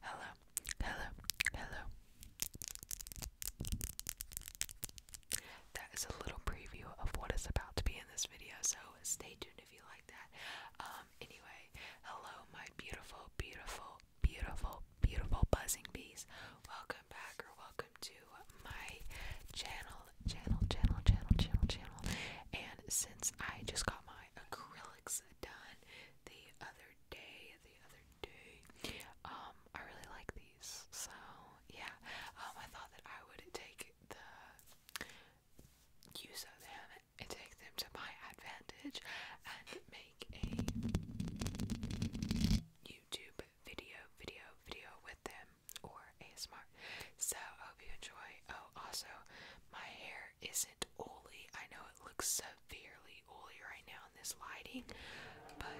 Hello, hello, hello. That is a little preview of what is about to be in this video, so stay tuned if you like that. Um, anyway, hello, my beautiful, beautiful, beautiful, beautiful buzzing bees. Welcome back or welcome to my channel, channel, channel, channel, channel, channel. And since I just got my acrylics done the other day, the other day, um, I really like these. So yeah, um, I thought that I would take the use of them and take them to my advantage and make a YouTube video, video, video with them or ASMR. So hope you enjoy. Oh, also, my hair isn't oily. I know it looks severely oily right now in this lighting, but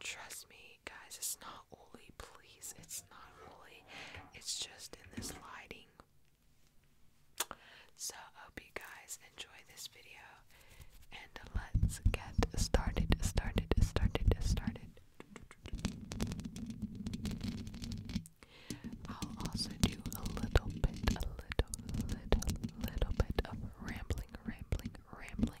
trust me, guys, it's not oily. Please, it's not oily. It's just in this lighting. So hope you guys enjoy this video and let's get started, started, started, started. I'll also do a little bit, a little, little, little bit of rambling, rambling, rambling.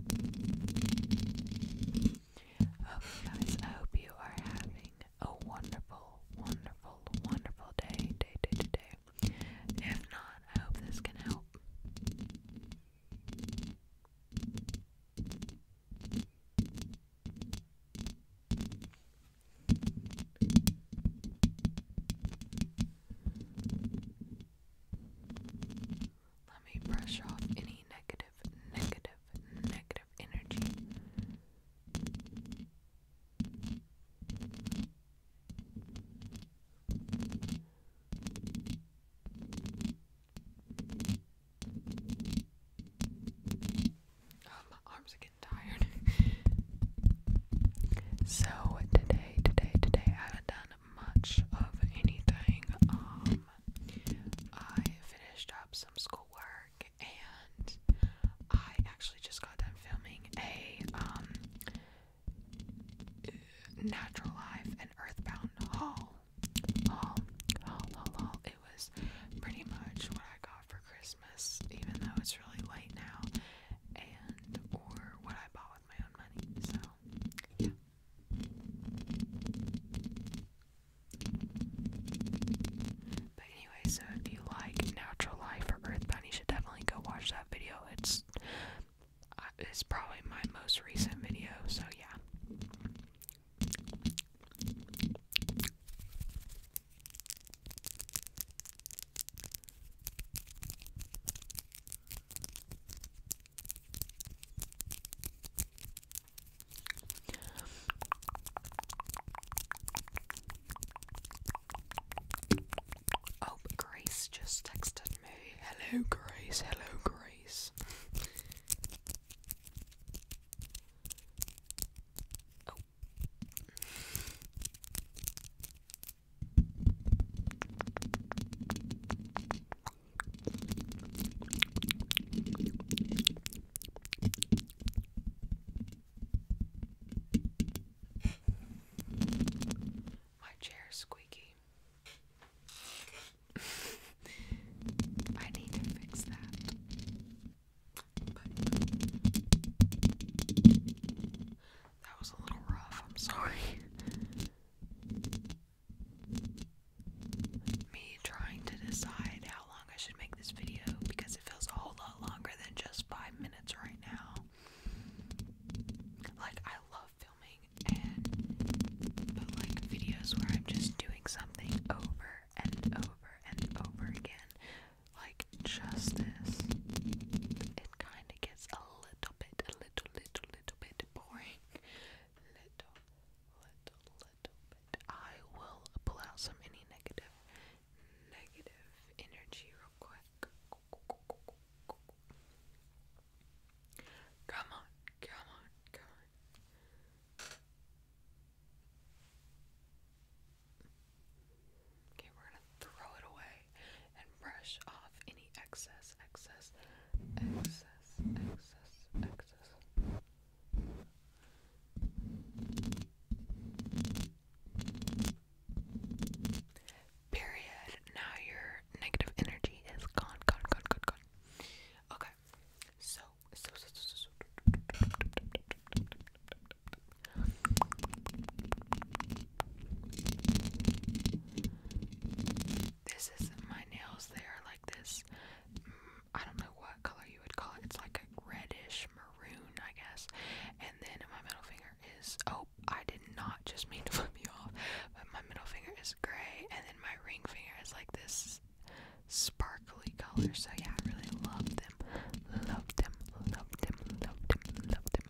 Okay, guys, I hope you are having a wonderful, wonderful, wonderful day, day, day, day, If not, I hope this can help. Let me brush off any negative, negative, negative energy. Oh, my arms are getting tired. so today, today, today, I haven't done much of anything. Um, I finished up some schoolwork and I actually just got done filming a um, Natural Life and Earthbound haul. Um, haul, haul, haul, haul. It was pretty much what I got for Christmas, even though it's really late now, and or what I bought with my own money. So, yeah. But anyway, so if you like Natural Life or Earthbound, you should definitely go watch that video. It's uh, it's probably my most recent video, so yeah. Oh, Grace just texted me. Hello, Grace. Hello, Grace. Oh. My chair is squeaky. I need to fix that. But that was a little rough, I'm sorry. Me trying to decide how long I should make this video because it feels a whole lot longer than just five minutes right now. Like, I love filming, but like videos where I'm just doing something over and over and over again, like just this, it kind of gets a little bit, a little, little, little little bit boring. Little, little, little bit. I will pull out some any negative, negative energy real quick. Come on, come on, come on. Okay, we're gonna throw it away and brush off any excess, excess, excess, excess, excess. Period. Now your negative energy is gone, gone, gone, gone, gone. Okay. So, this is my nails. They are like this. Mm, I don't know what color you would call it. It's like a reddish maroon, I guess. And then my middle finger is oh, I did not just mean to flip you off. But my middle finger is gray, and then my ring finger is like this sparkly color. So yeah, I really love them. Love them. Love them. Love them. Love them.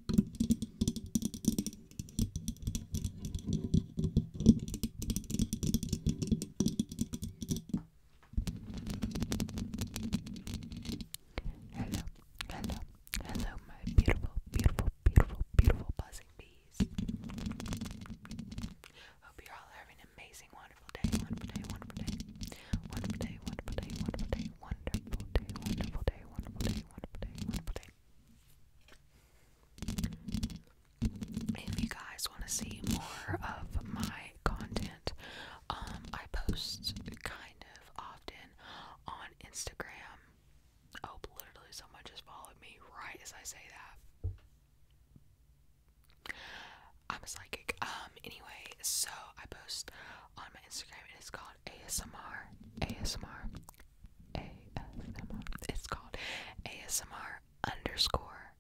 Hello, hello, hello, my beautiful, beautiful, beautiful, beautiful buzzing bees. Hope you're all having an amazing, wonderful day, wonderful day, wonderful day. Wonderful day, wonderful day, wonderful day, wonderful day, wonderful day, wonderful day, wonderful day, wonderful day. If you guys want to see more of my content, um, I post kind of often on Instagram. Oh, literally, someone just followed me right as I say that. I'm a psychic. Um, anyway, so I post on Instagram. It is called ASMR. ASMR. ASMR. It's called ASMR underscore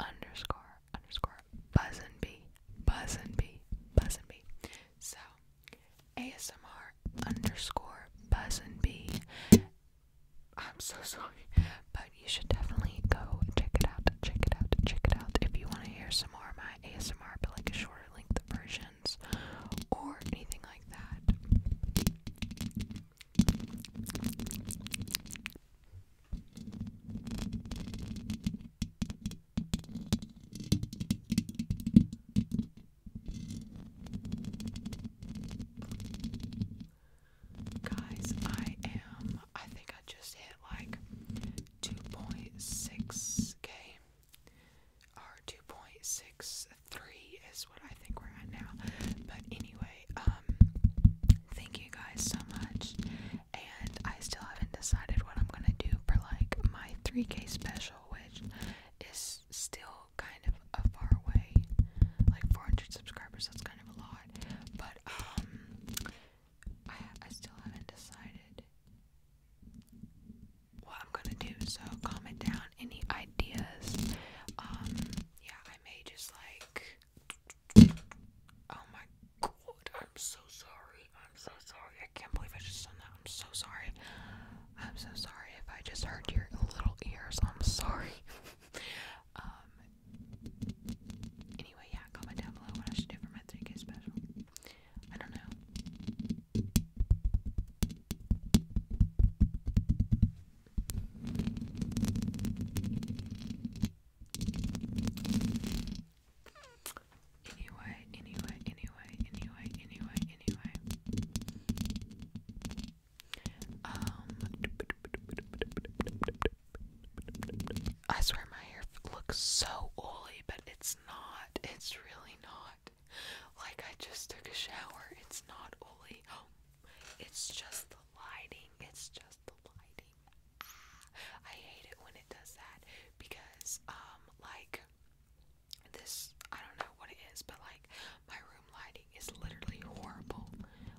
underscore underscore buzz buzz and and b b buzz and b. So ASMR underscore buzz and b. am so sorry. But you should definitely go check it out. Check it out. Check it out. If you want to hear some more of my ASMR, but like a shorter length of versions or anything like that. Guys, I am. I think I just hit like 2.6k or 2.63 is what I think we're at now. But anyway, um, thank you guys so much. And I still haven't decided what I'm gonna do for like my 3k special, which is still kind of a far away, like 400 subscribers. That's kind of a lot, but um, I still haven't decided what I'm gonna do. So comment down any ideas. Um, yeah, I may just like. Oh my god! I'm so sorry. I'm so sorry. I can't believe I just done that. I'm so sorry. I'm so sorry if I just hurt your little ears. I'm sorry. um. Anyway, yeah, comment down below what I should do for my 3K special. I don't know. Anyway, anyway, anyway, anyway, anyway, anyway. Um, I swear my hair looks so oily, but it's not. It's really not. Like I just took a shower. It's not oily. Oh, it's just the lighting. It's just the lighting. Ah, I hate it when it does that because um like this I don't know what it is, but like my room lighting is literally horrible.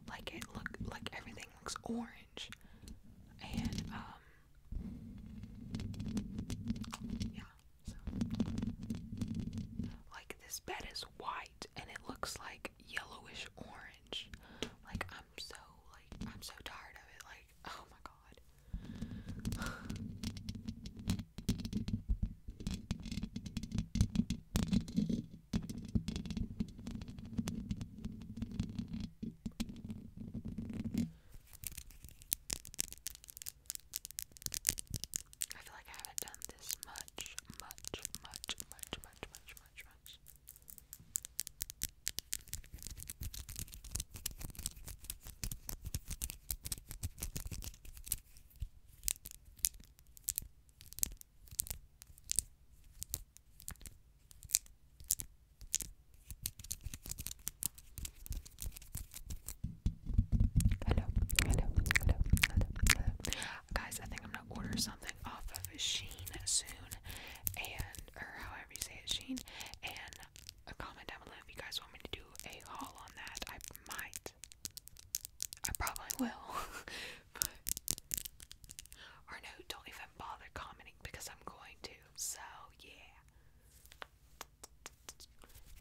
Like it look like everything looks orange. And um yeah, so. Like, this bed is white and it looks like yellowish orange. Like, I'm so, like, I'm so tired of it. Like, oh my god. I feel like I haven't done this much, much, much, much, much, much, much, much. Hello, hello, hello, hello, hello. Guys, I think I'm gonna order something off of Sheen soon, and or however you say it, Sheen. And a comment down below if you guys want me to do a haul on that. I might. I probably will. or no, don't even have commenting because I'm going to. So, yeah.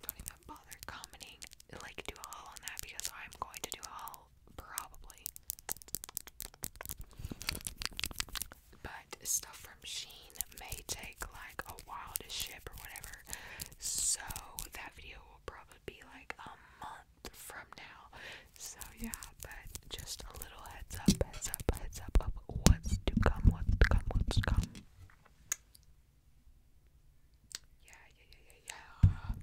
Don't even bother commenting. Like, do a on that because I'm going to do all probably. But stuff from Sheen may take like a while to ship or whatever. So, that video will probably be like a month from now. So yeah, but just a little heads up, heads up, heads up of what's to come, what's to come, what's to come. Yeah, yeah, yeah, yeah, yeah.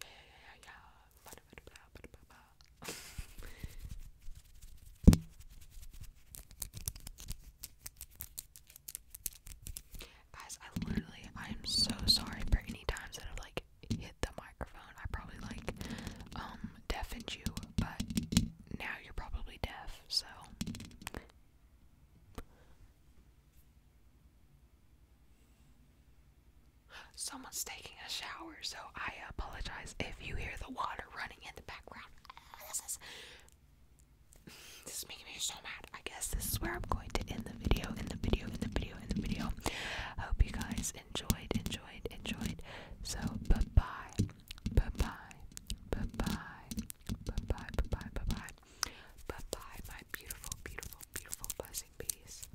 Yeah, yeah, yeah, yeah. Ba -da -ba -da -ba -da -ba -ba. Guys, I literally, I'm so sorry for any times that I've like like hit the microphone, I probably like um deafened you, but now you're probably deaf, so Someone's taking a shower, so I apologize if you hear the water running in the background. This is, this is making me so mad. I guess this is where I'm going to end the video, end the video, end the video, end the video. I hope you guys guys enjoyed, enjoyed, enjoyed. So bye bye, bye bye, bye bye, bye bye, bye bye, bye bye, bye bye, my beautiful, beautiful, beautiful buzzing bees.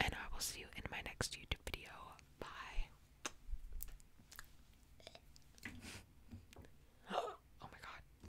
And I will see you in my next YouTube video. Bye. oh my god.